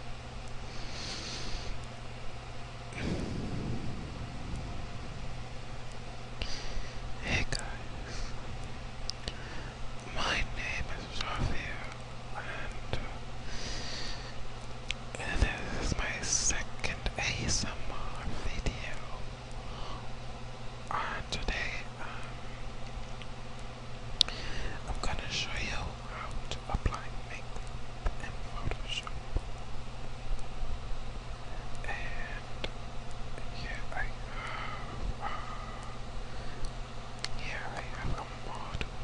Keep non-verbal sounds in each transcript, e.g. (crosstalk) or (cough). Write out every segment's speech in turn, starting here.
Hey guys, my name is Javier and, uh, this is my second ASMR video. And today, um, I'm gonna show you how to apply makeup in Photoshop. And here I have here I have a model,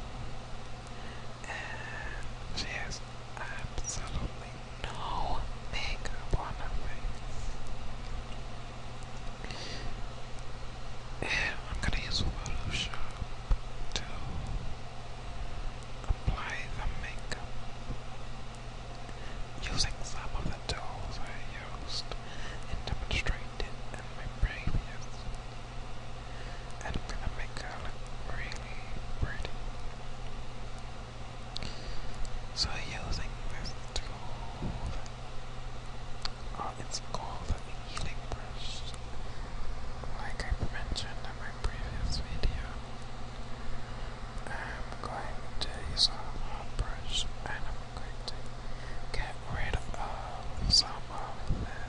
and she has absolutely no makeup on her face. And I'm gonna use Photoshop to apply the makeup using some of the tools I used and demonstrated in my previous. And I'm gonna make her look really pretty. So using this tool uh, it's called a healing brush. Like I mentioned in my previous video, I'm going to use a brush and I'm going to get rid of some of the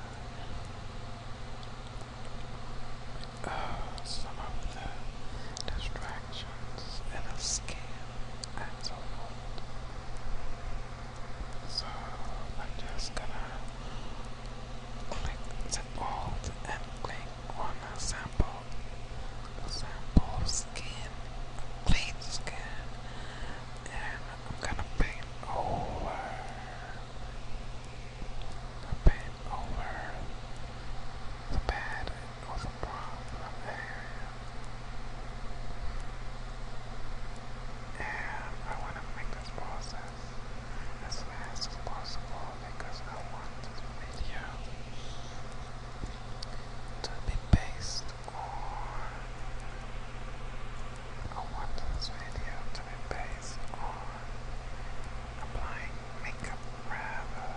uh, some of the distractions in the skin and so forth. So I'm just gonna click the alt and click on a sample sample skin, clean skin, and I'm gonna paint over the paint over the bad or the problem area. And I want to make this as fast as possible because I want this video to be based on I want this video to be based on applying makeup rather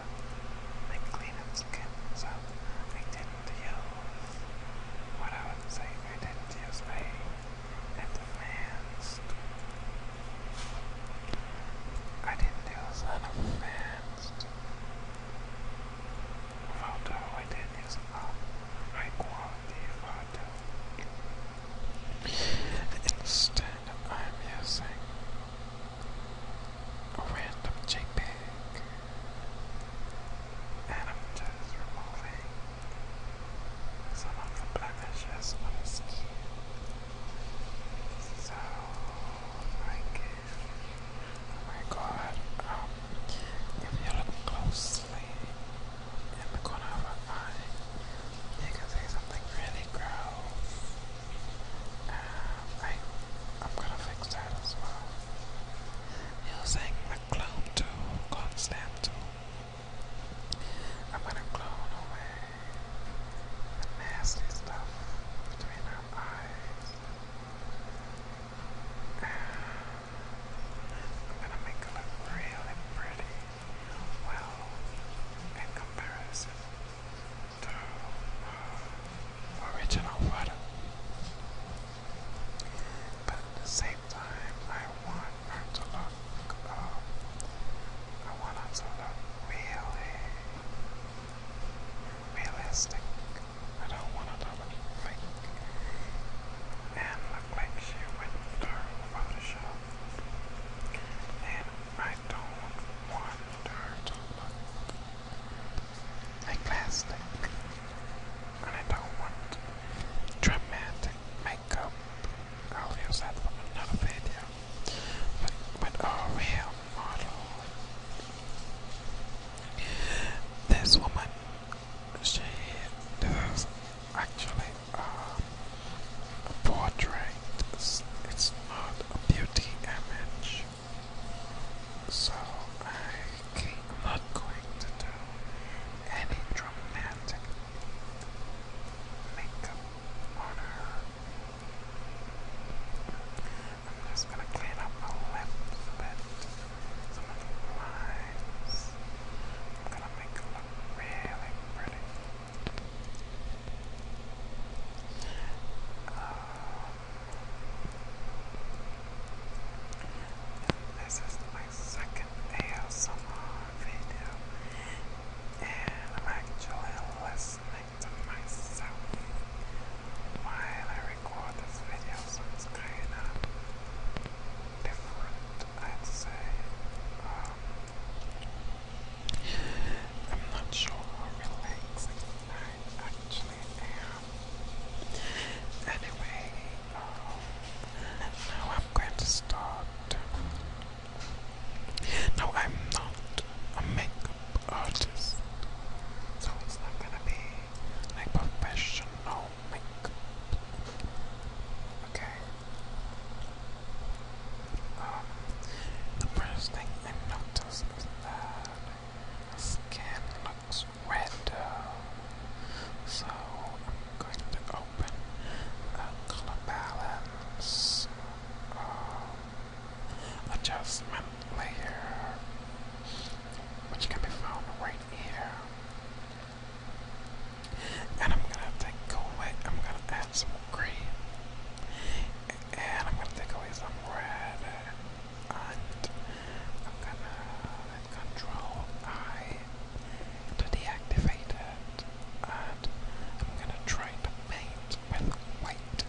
than cleaning skin. So I didn't use what I would say I didn't advanced. I didn't do an advanced photo, I did use a high quality photo. Instead, I'm using a random JPEG and i removing someone from Blackish has one So, my god, if you look closely in the corner of her eye, you can see something really gross. I, am gonna fix that as well. Using the clone tool, constant tool. I'm gonna clone away the nasty stuff between our eyes. I'm gonna make it look really pretty. Well, in comparison to original water. But the same time, I want her to look up. Um, I want her to look really realistic. I don't want her to look fake and look like she went through Photoshop. And I don't want her to look like plastic and I don't want dramatic makeup. Oh, I'll use that for another video. But with a real model, this woman, she does actually a um, portrait. It's, not a beauty image. So I I'm not going to do any dramatic makeup on her. I'm just gonna clean up my lips a bit, some of the lines. I'm gonna make it look really pretty this is my second ASMR video and I'm actually listening to myself while I record this video so it's kinda different I'd say. Um, I'm not sure how relaxing I actually am. Anyway, now I'm going to start. No, I'm not a makeup artist, so it's not gonna be like professional makeup. Okay. Um, the first thing I noticed is that the skin looks window. So I'm going to open a color balance um, adjustment layer, which can be found right here. And I'm gonna take away, I'm gonna add some green. And I'm gonna take away some red. And I'm gonna Control I to deactivate it. And I'm gonna try to paint with white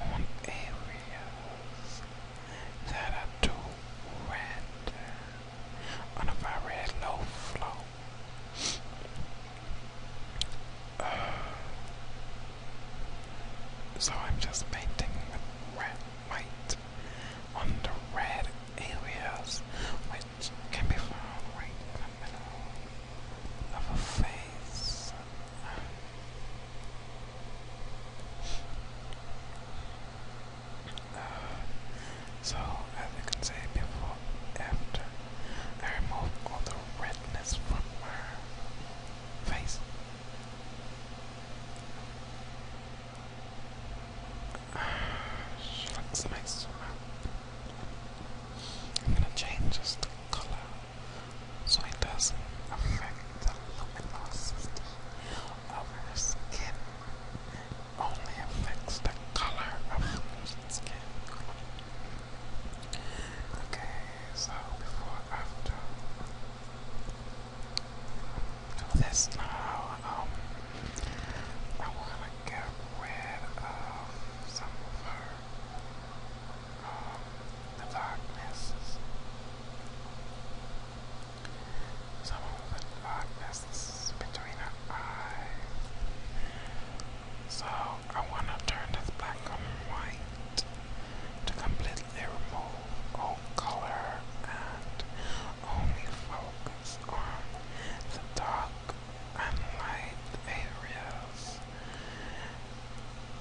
on areas that are too red on a very low flow. Uh, so I'm just painting with red, white on the red areas, which can be found right in the middle of a face. so, as you can see, before, after, I removed all the redness from my face. She looks nice. I'm gonna change just the color so it doesn't affect the luminosity of her skin. Only affects the color of her skin. Okay, so before after. Oh, that's no. Um, I want to get rid of some of her um, the darknesses. Some of the darknesses between her eyes. So I want to turn this black and white to completely remove all color and only focus on the dark and light areas.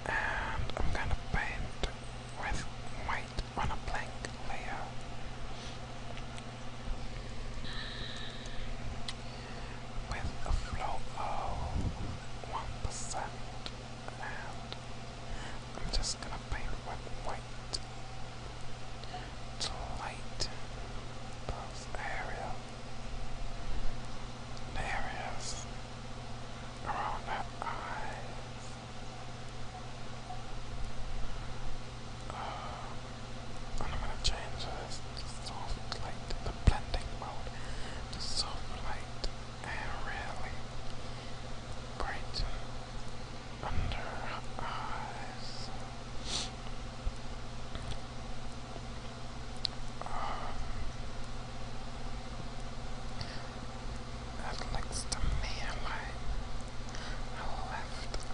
And I'm gonna paint with white on a blank layer. With a flow of 1%, and I'm just gonna paint with white to light those area, areas around her eyes. Uh, I'm gonna change this soft light, the blending mode to soft light really brighten under her eyes. Um, to me like left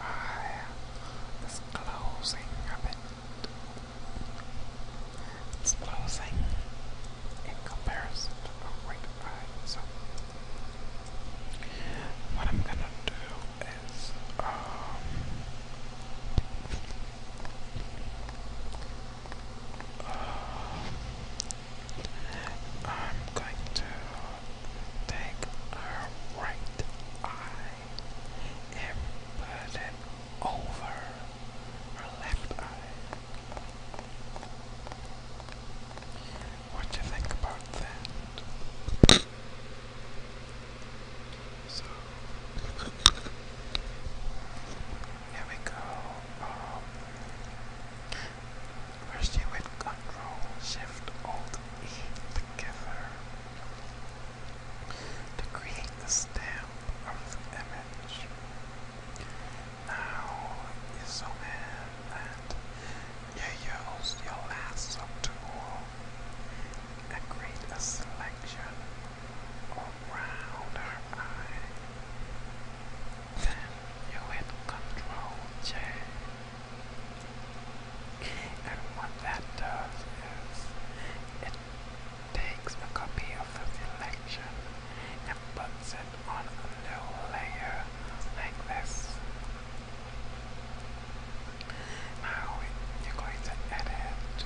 eye is closing a bit. It's closing in comparison to her right eye, what I'm gonna do is um, uh, I'm going to take her right eye and put it over her left eye. What do you think about that? So here we go. Um, first you with Control Shift Alt E together to the stamp of the image. Now zoom in and you use your lasso tool and create a selection around her eye. Then you hit Control J. And what that does is it takes a copy of the selection and puts it on a new layer like this. Now you're going to edit,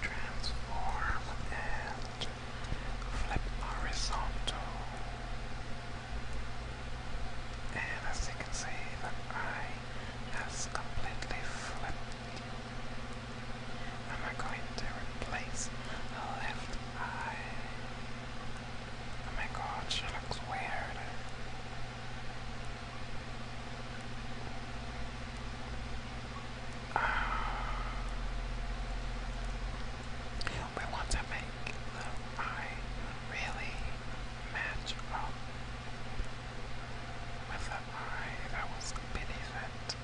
transform, and flip horizontal. And as you can see, that eye has completely flipped. I'm going to replace the left eye. Oh my god, she looks weird. Ah. We want to make the eye really match up with the eye that was beneath it.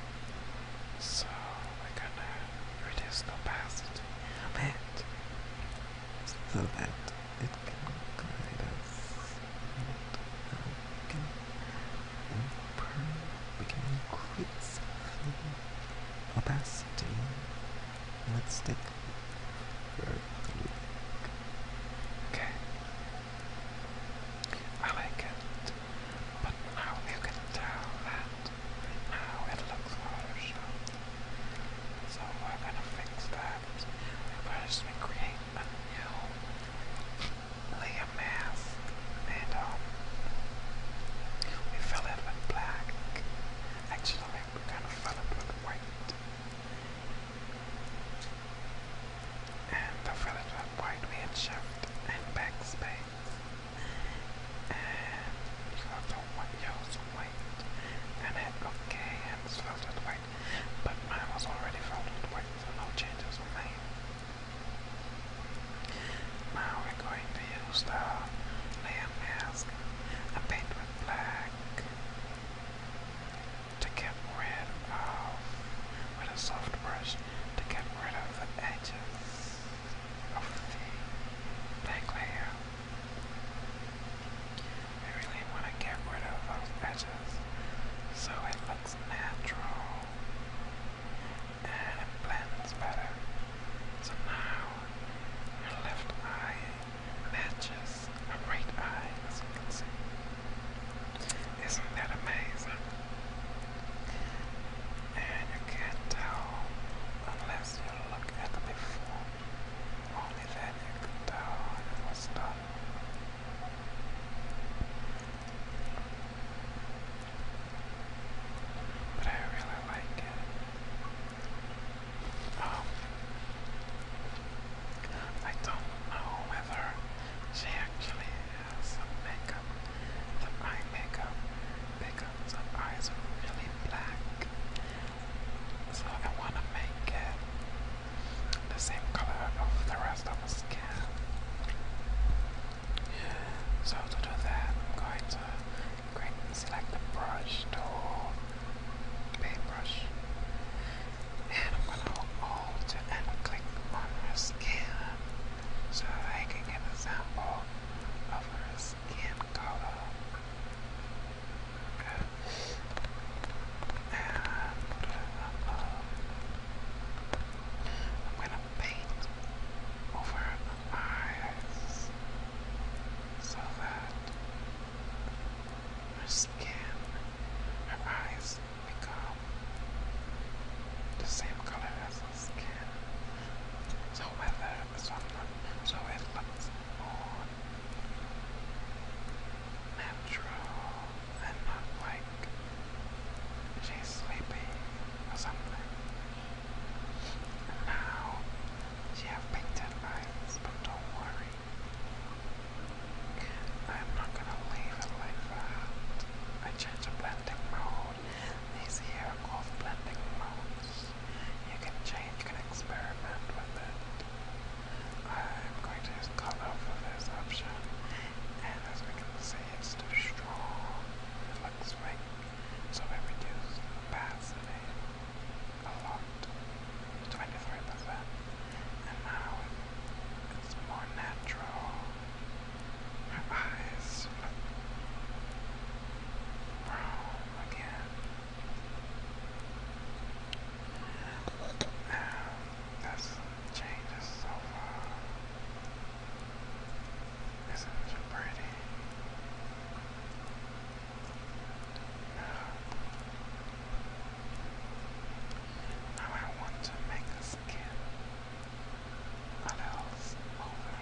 So we're gonna reduce the opacity a bit so that it can guide us and we can improve, we can increase opacity. Let's take a look. Okay. I like it, but now you can tell that now it looks rather short. So we're gonna fix that. First we create a new layer mask and um, we fill it with black. Actually we're gonna fill it with white. And the fill it with white we hit shift and backspace. And you have to use white, and head of K and filled white, but mine was already filled white, so no changes were made. Now we're going to use the layer mask and paint with black to get rid of, with a soft brush, to get rid of the edges of the back layer. I really want to get rid of those edges so it looks natural and it blends better. So now your left eye matches a right eye as you can see. Isn't that amazing? And you can't tell unless you look at the before only then you could tell when it was done. But I really like it. Um, I don't know whether she actually has some makeup, some eye makeup, because her eyes are really black. So I want to make it the same color of the rest of her skin. So to do that, I'm going to click select the brush tool, paintbrush, and I'm going to hold Alt and click on the skin so I can get a sample of her skin. Uh, I'm gonna paint over the eyes so that her skin, her eyes become the same color as her skin. So whether it's on so it looks more natural and not like she's sleepy or something. now she have painted eyes, but don't worry. I'm not gonna leave it like that. I change the blending mode. These here called blending modes. You can change, you can experiment with it. I'm going to cut off this option, and as we can see, it's too strong. It looks like, so we reduce the opacity a lot, 23%, and now it's more natural. Her eyes brown again. Um, that's changes so far. Isn't it pretty? now I want to make a skin. What else? Over.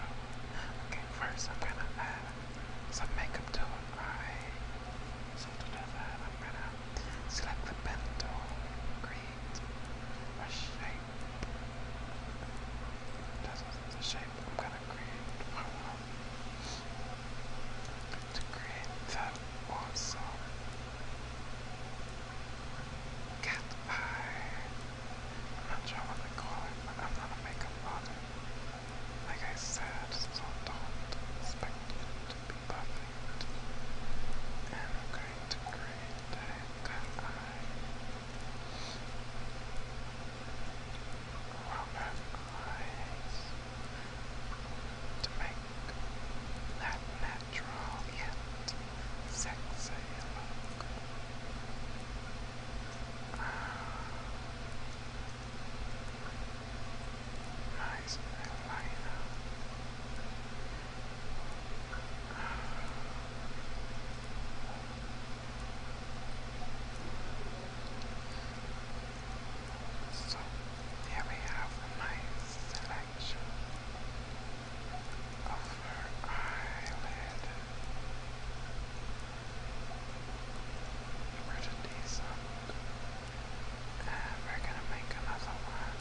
Okay, first I'm gonna add some makeup tool. I sort of know that. I'm gonna select the pen tool, create a shape. That's the shape I'm gonna create. I want to create that awesome cat eye. I'm not sure what they it, but I'm not a makeup like I said, it's all done. not expect it to be perfect. I'm going to create a good eye. Rubber eyes. To make that natural yet sexy Nice Atlanta. here we have a nice selection of her eyelid. Where we're gonna make another one.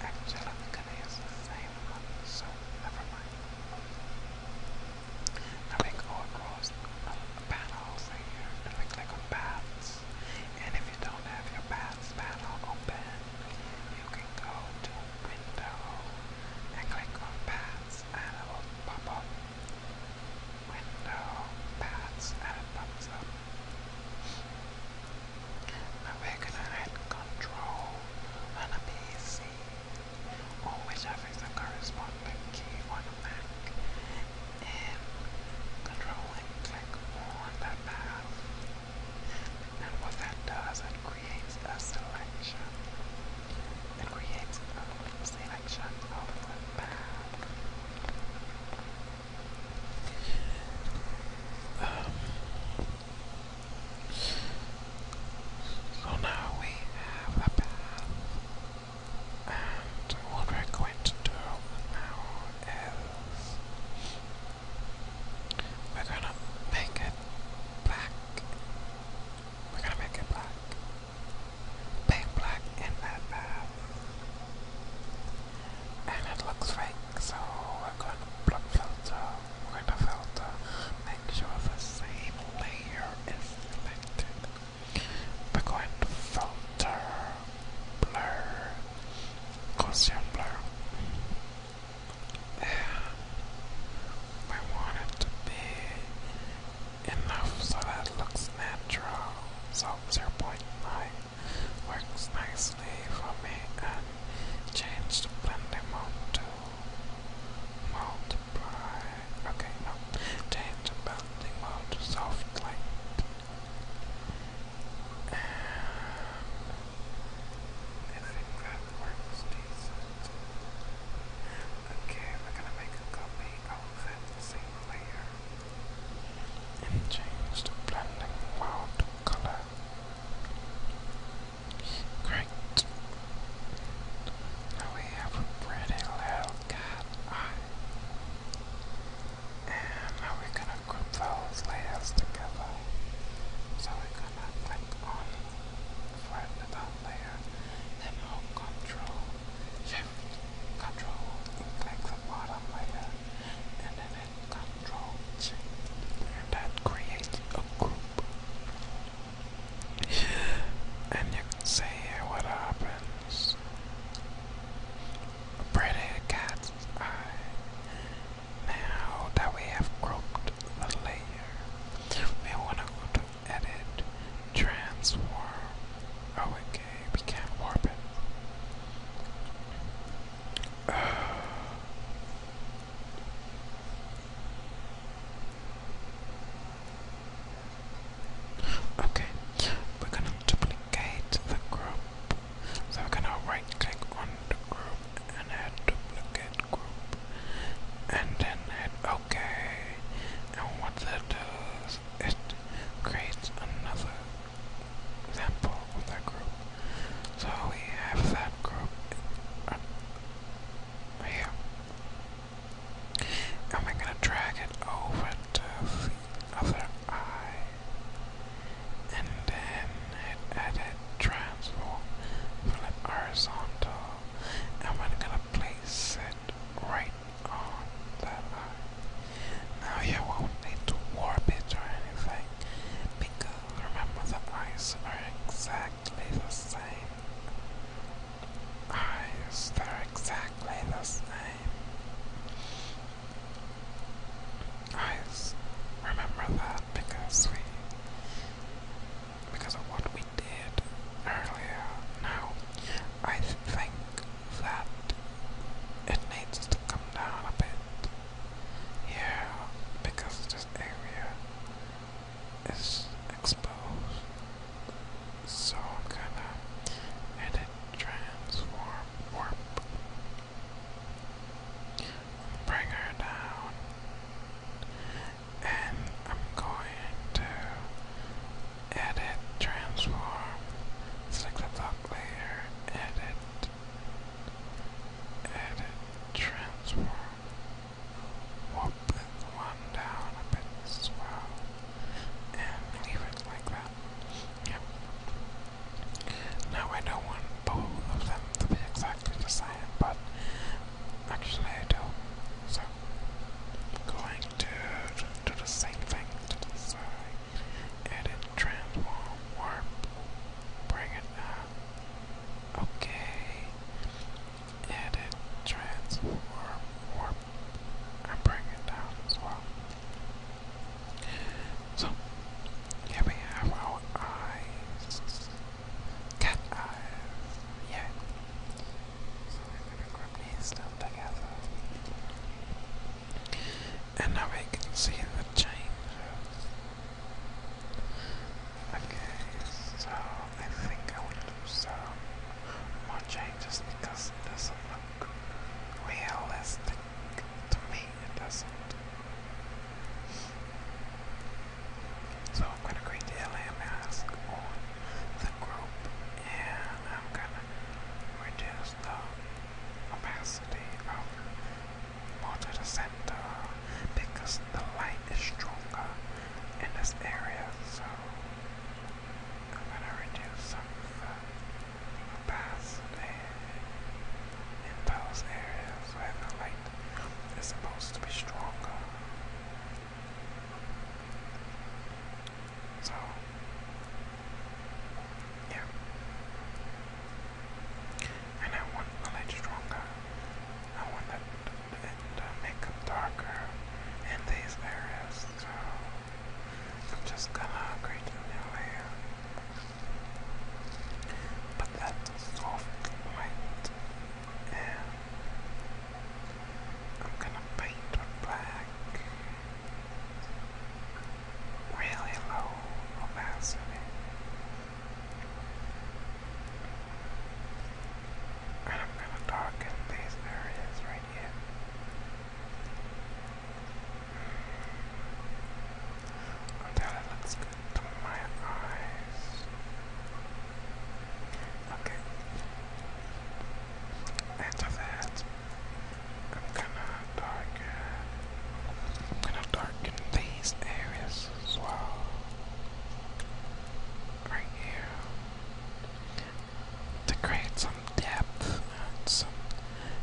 Actually, we're use the same one, so never mind. Now we go across the panels right here, and we click on paths. And if you don't have your paths panel open, you can go to window and click on paths, and it will pop up window pads and a thumbs up. Now we're gonna add control on a PC or whichever corresponding key on a Mac and control click on the path. And what that does, it creates a selection. It creates a, selection so now we have a path, and what we're going to do now is we're gonna make it black. We're gonna make it black big black in that bath. And it looks fake, so we're going to block filter, going to filter, make sure the same layer is selected. We're going to filter, blur, Gaussian blur. And we want to be enough so that looks natural. So 0 point 0.9 works nicely for me and change the blending mode to multiply. Okay, no, change the blending mode to soft light. And I that works decent. Okay, we're gonna make a copy of that same layer and change the blending mode to color. Great. Now we have a pretty little cat eye. And now we're gonna group those layers together. So we're gonna click on for the top layer and control shift control click the bottom layer and then control G and that creates a group and you can see what happens pretty cat's eye now that we have grouped the layer we want to go to edit, transform. okay, oh, we can't warp it. (sighs) Okay, we're gonna duplicate the group. So we're gonna right click on the group and add duplicate and then hit OK. And what that does, it creates another example of that group. So we have that group uh, here. And we're going to drag it over to the other eye. And then it edit transform, flip horizontal. And we're going place it right on that eye. Now you won't need to warp it or anything, because remember the eyes are exactly the same. Eyes, they're exactly the same. Eyes, remember that because we, because of what did earlier. Now, I think that it needs to come down a bit here because this area is exposed. So I'm gonna edit transform warp. Bring her down and I'm going to edit transform. It's like the block layer, edit, edit, transform. We'll one down a bit as well and leave it like that. Yeah. Now I don't want both of them to be exactly the same, but actually I do. So going to do the same thing Edit, transform, warp, bring it up. Okay. Edit, transform, warp, and bring it down as well. So, here we have our eyes. Yeah. So we're gonna grab these together. And now we can see the changes. Okay, so I think I will do more changes because this doesn't look realistic to me. It doesn't. So I'm gonna create the LA mask on the group and I'm gonna reduce the opacity of more to the center because the light is stronger in this area so I'm gonna reduce some of the opacity in those areas where the light is supposed to be stronger. So, yeah. And I want the light stronger. I want that and uh, make them darker in these areas. So, I'm just gonna create a new layer. But that soft light I'm gonna paint the black really low opacity. And I'm gonna darken these areas right here. Until it looks good to my eyes. Okay. After that, I'm gonna darken. I'm gonna darken these areas as well. Right here. To create some depth and some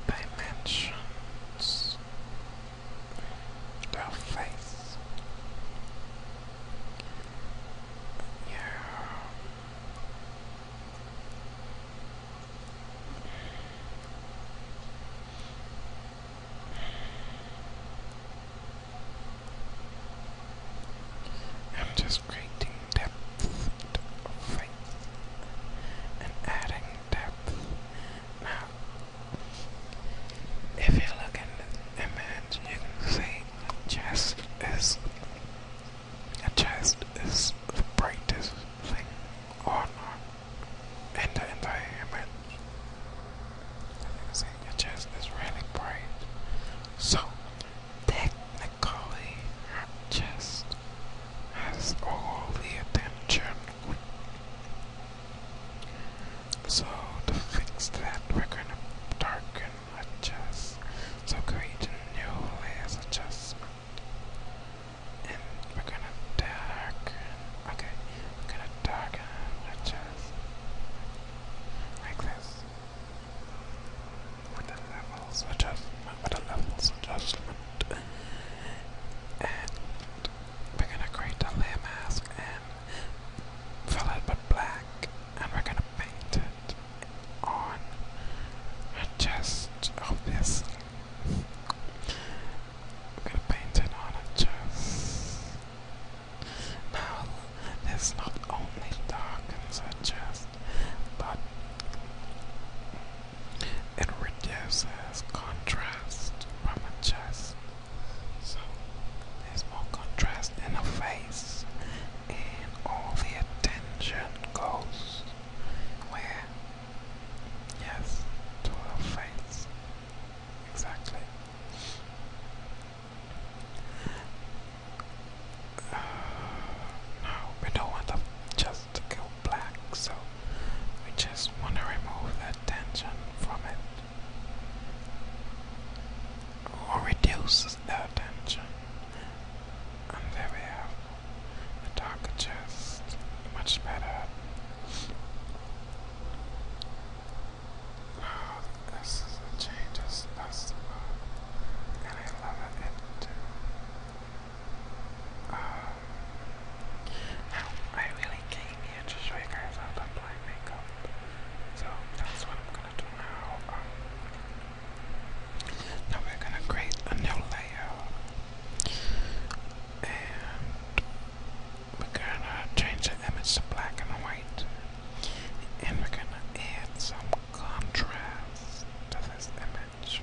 dimensions. Their face. I'm just creating depth and adding depth. Now, if you look at the image, you can see chess is a chest is the brightest thing on in the entire image. As see, your chest is really bright. So technically, her chest has all the attention. So to fix that, we're gonna darken adjust. So create a new layers adjust. And we're gonna darken. Okay, we're gonna darken adjust. Like this. With the levels adjustment, with the levels adjustment. And we're gonna create a layer mask and fill it with black and we're gonna paint it on a chest, obviously. We're going on her chest. Now, this not only darkens her chest, but it reduces contrast from her chest so there's more contrast in her face, and all the attention goes where? Yes, to her face. Exactly. Uh, no, we don't want them just go black, so we just want to remove the from it or reduces the tension, and there we have the darker chest, much better. Oh, this is a change as possible, and I love it. Um, now, I really came here to show you guys how to apply makeup, so that's what I'm gonna do now we're gonna create a new layer. And we're gonna change the image to black and white. And we're gonna add some contrast to this image.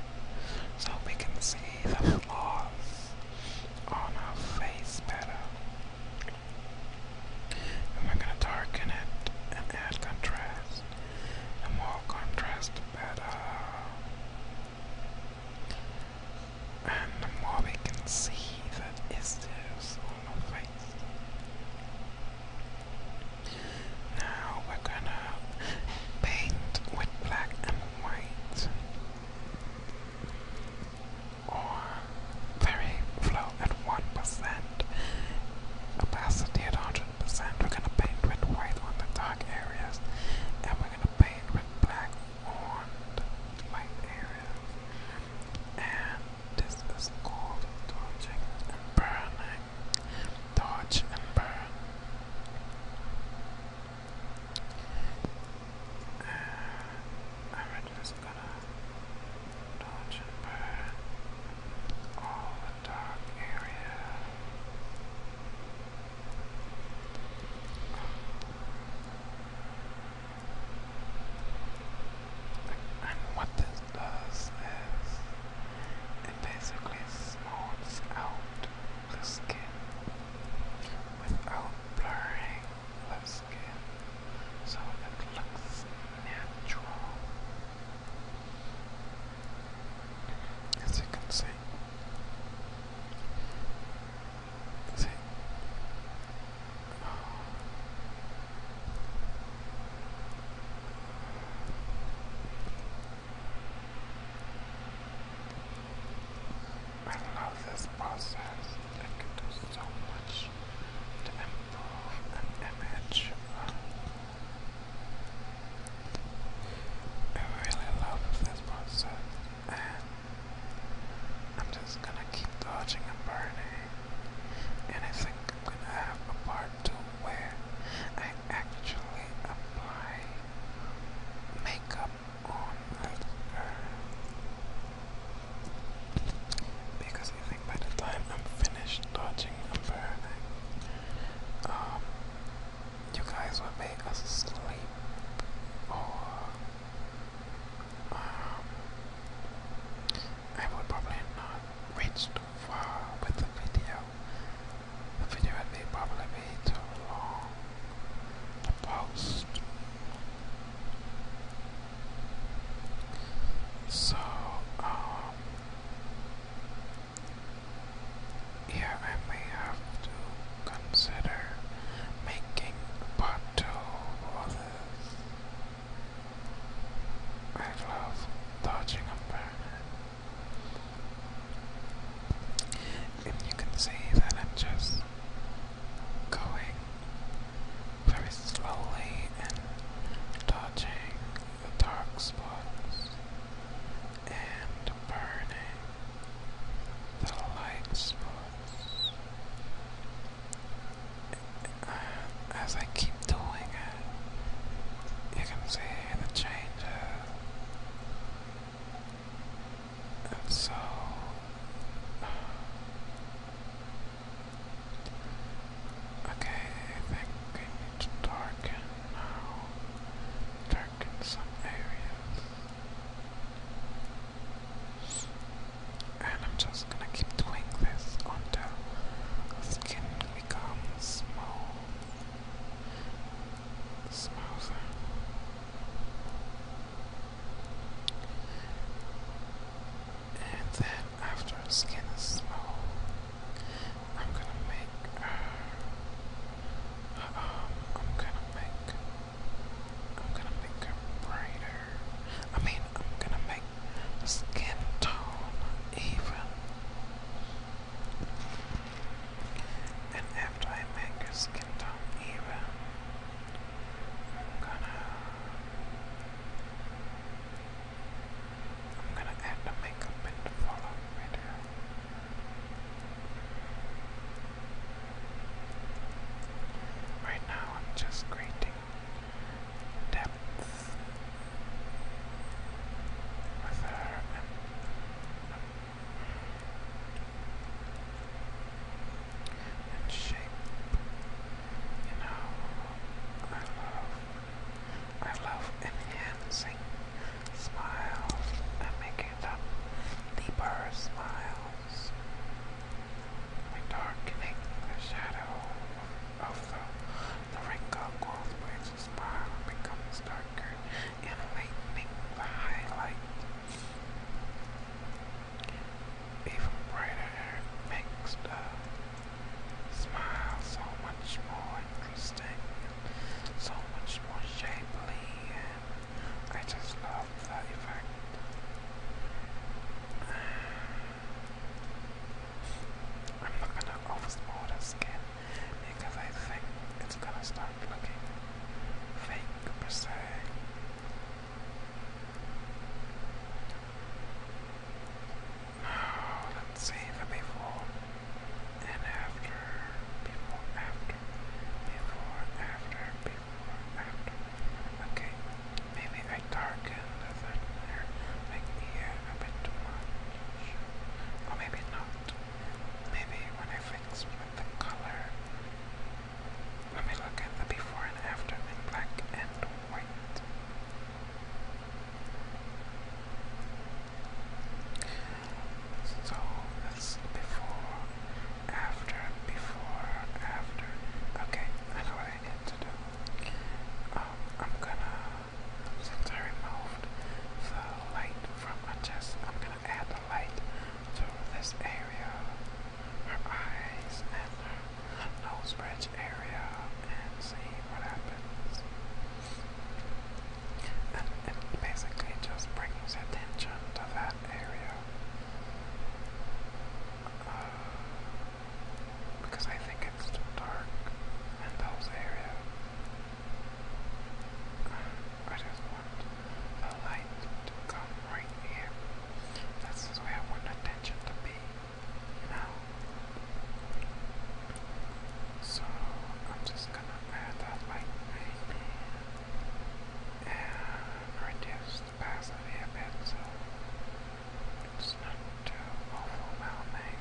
So we can see the flaws on our face better and we're gonna darken it and add contrast. The more contrast, the better. And the more we can see that is this on the face. Now we're gonna paint with black and white or very flow at 1%, opacity at 100%. We're going to paint with white on the dark areas, and we're going to paint with black on the light areas. And this is called dodging and burning. Dodge and burn we gonna dodge and burn all the dark area. And what this does is it basically smooths out the skin without blurring of skin so it looks natural. As you can see, see, I love this process. I can do so much tools to improve an image. I really love this process, and I'm just gonna keep dodging and burning. And I think I'm gonna have a part two where I actually apply makeup on this girl. Because I think by the time I'm finished dodging and burning, um, you guys would be asleep or um, I would probably not reach too far with the video. The video would probably be too long to post. So, um, yeah, I may have to consider making part of this. I dodging a burn. And you can see that I'm just going very slowly and touching the dark spots and burning the light spots. And as I keep doing it, you can see the changes. And so, Okay, I think we need to darken now. some areas. And I'm just gonna keep doing this until the skin becomes smooth. Smoother and then after her skin is smooth, I'm gonna make her, I'm gonna make, I'm gonna make her brighter, I mean, I'm gonna make the skin tone even, and after I make her skin tone even, I'm gonna I'm gonna add the makeup and follow right Right now I'm just creating depth with her um, and shape. You know, I love, I love enhancing smiles and making them deeper smiles. Like darkening the shadow of the, the wrinkle growth makes a smile becomes darker and lightening the highlight even brighter makes the smile so much more interesting so much more shapely I just love the effect. I'm not gonna overspoil the skin because I think it's gonna start looking fake per se. (sighs) let's save the before and after. Before, after. Before, after, before, after. Okay, maybe I darken the third layer like a bit too much. Or maybe not. Maybe when I fix with the color, let me look at the before and after in black and white. So that's before, after, before, after. Okay, I know what I need to do. Um, I'm gonna, since I removed the light from my chest, I'm gonna add the light to this area, her eyes and nose bridge area and see what happens. And it basically just brings attention to that area. Uh, because I think it's dark in those areas. I just want the light to come right here. This is where I want attention to be be, So I'm just gonna add that light uh, and reduce the opacity a bit it's not too overwhelming.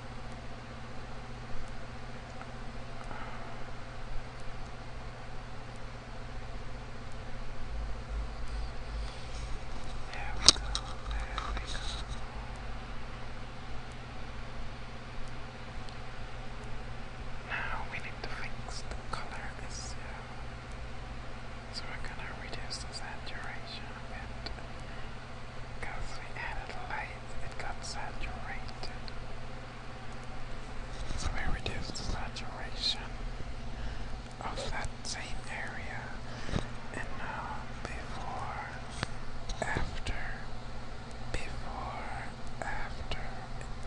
Um, now we need to fix the color issue. Uh, so we're gonna reduce the saturation a bit. Because we added light, it got saturated. So we reduced the saturation of that same area, and now before, after, before, after,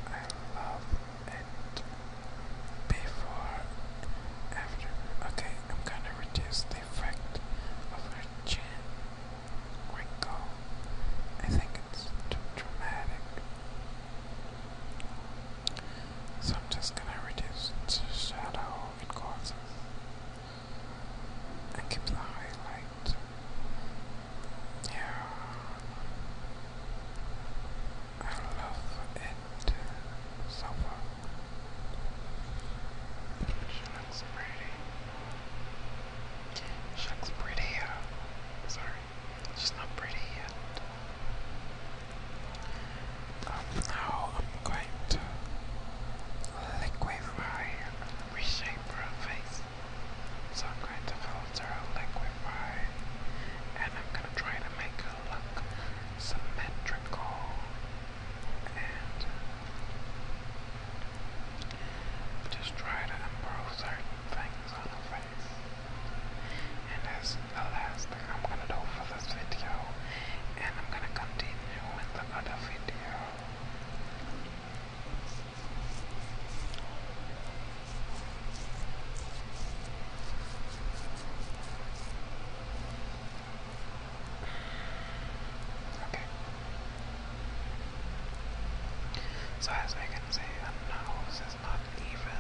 I love it, before, after, okay, I'm gonna reduce the effect of her chin, wrinkle, I think it's dramatic. So I'm just gonna reduce the shadow in courses and keep the highlight. Yeah, I love it so far. She looks pretty. She looks pretty. Sorry, she's not pretty yet. Um, now I'm going to liquefy and reshape her face. So I'm going to filter, liquefy, and I'm going to try to make her look symmetrical and just try to improve certain things on her face. And that's the last thing I'm gonna do for this video. And I'm gonna continue with the other video. Okay. So as I can see, the nose is not even.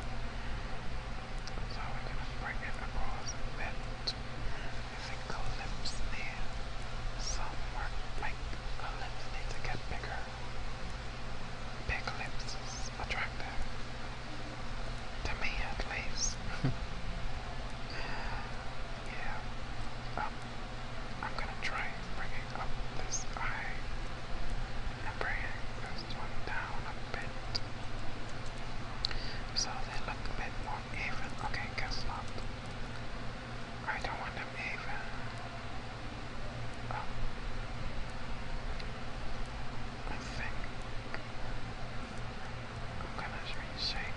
So we're going to bring it across a bit. If it collips there, some work like lips need to get bigger. Big lips is attractive. To me at least. (laughs) yeah. Um, I'm gonna try bringing up this eye and bringing down a bit. So they look a bit more even. Okay, guess not. I don't want them even. Oh. I think I'm gonna reshape.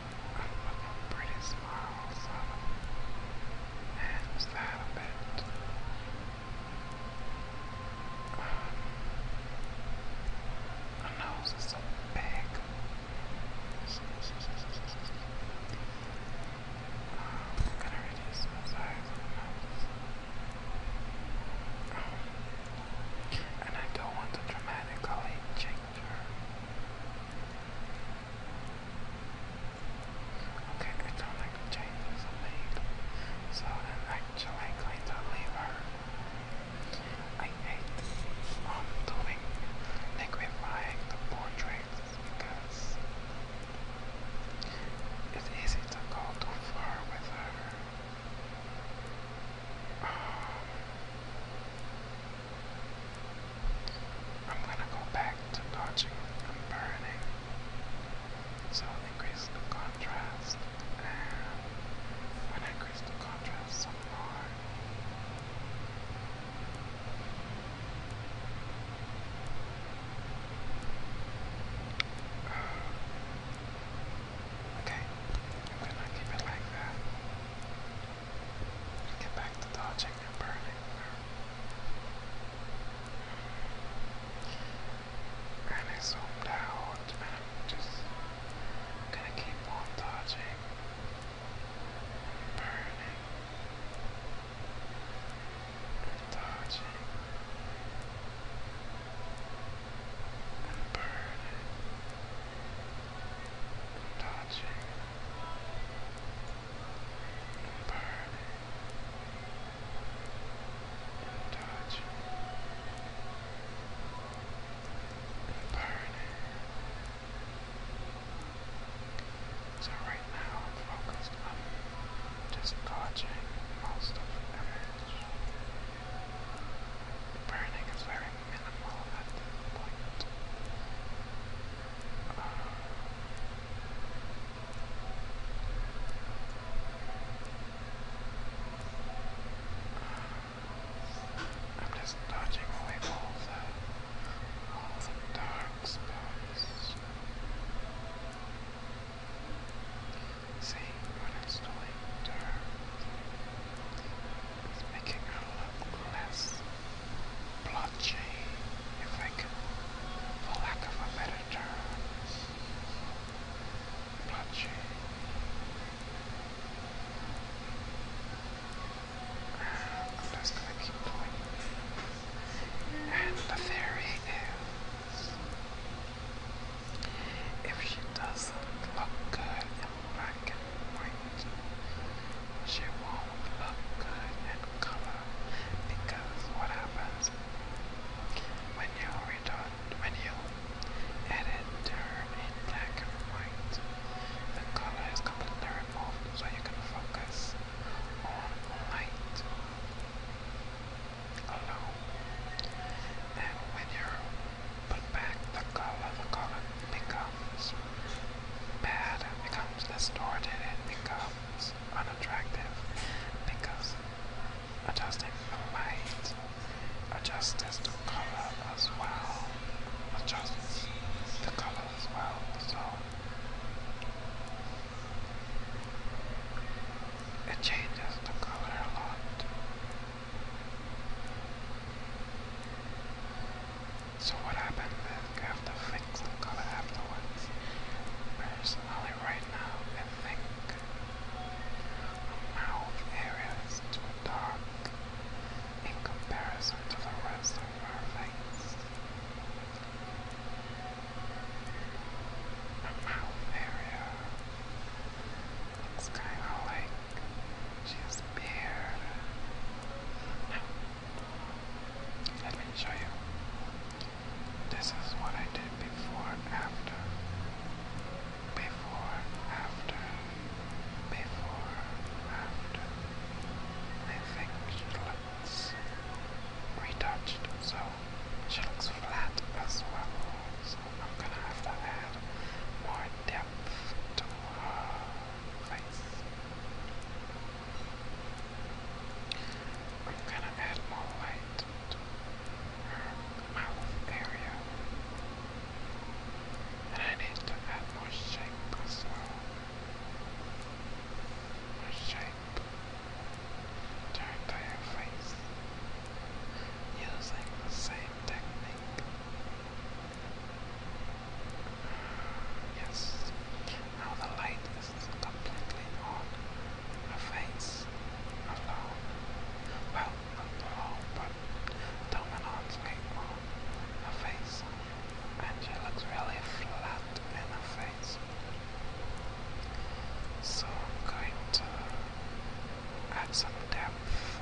I'm looking pretty small, so hands that a nose is so big. I'm gonna reduce my nose. and I don't want to dramatically change her. Okay, I don't like the changes I made, so I'm actually going to leave her. I hate um, doing liquefying the portraits because it's easy to go too far with her. Um, I'm gonna go back to dodging and burning. So increase the contrast and when I increase the contrast some more Okay, I'm gonna like that. Get back to dodging and burning. I zoomed out and am just gonna keep on dodging and burning dodging and burning touching, and burning, and touching, and burning. So right now I'm focused on disgorging most of the image. Burning is very minimal at I'm just dodging away all the, dark spots. Seeing what is doing dark. It's making her look less blotchy, if I can, for lack of a better term. Blotchy. I'm just gonna And the theory is, if she does look good black and white. She won't good in color because what happens when you return, when you edit her in black and white, the color is completely removed so you can focus on light alone. And when you put back the color, the color becomes bad becomes distorted and becomes unattractive because adjusting the light adjusts the color as well. Adjusts the color as well, so it changes the color a lot. So what happened is you have to fix the color afterwards. Personally, right now, I think the mouth area is too dark in comparison to the rest of her face. The mouth area looks kind of like she has let me show you. This is what I did before, after. Before, after. Before, after. I think she looks retouched, so she looks flat as well. So I'm gonna have to add more depth to her place. I'm gonna add more light to her mouth area. And I need to add more shape as well. More shape to her face. Using the same technique Yes, now the light is completely on her face, alone. Well, not alone, but dominant's light on her face, and looks really flat in her face. So going to add some depth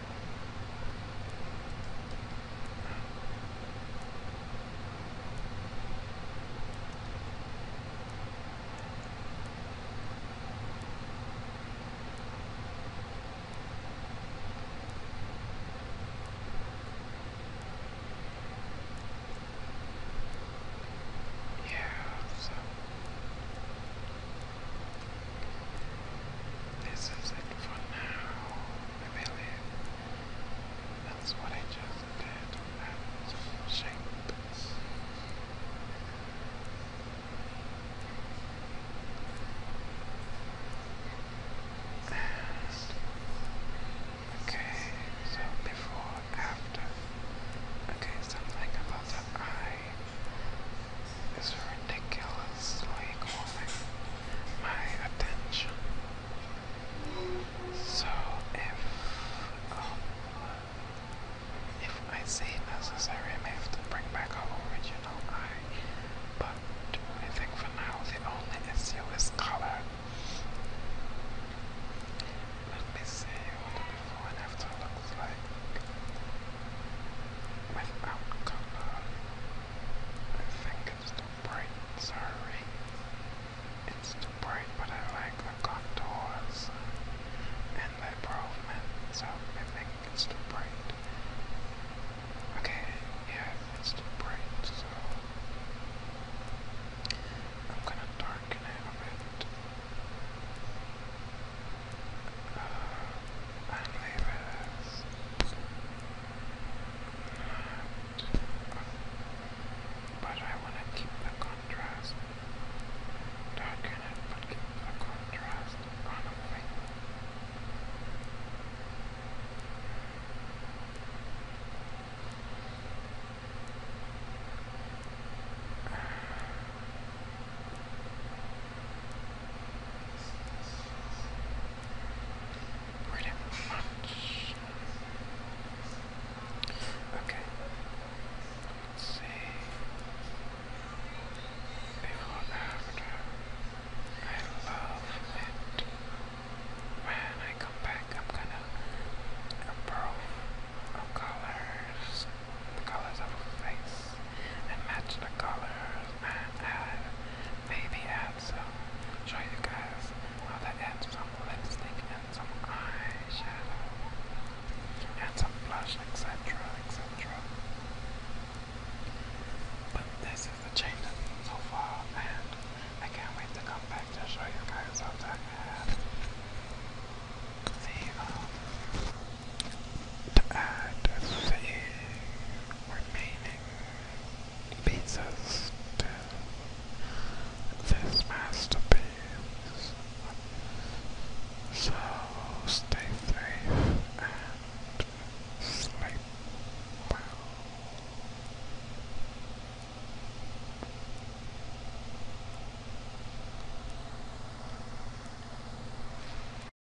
Yeah, so this is it for now, I believe. That's what I just did at And okay, so before, after. Okay, something about the eye is ridiculously calling my attention. So if um, if I see necessary, I may have to bring back our original eye. But I think for now the only issue is color. Let me see what the before and after looks like without color. I think it's too bright, sorry. It's too bright, but I like the contours and the improvement, so I think it's too bright. Okay, yeah, it's too bright, so I'm gonna darken it a bit and leave but I want to keep the contrast darken it but keep the contrast on Pretty much. Okay. Let's see. Before after. I love it. When I come back, I'm gonna improve the colors, the colors of her face, and match the colors and have baby abs. So show you guys how to add some lipstick and some eyeshadow and some blush, etc., etc. But this is the change so far, and I can't wait to come back to show you guys how to add the um, to add the remaining pieces to this masterpiece. So stay safe and sleep well.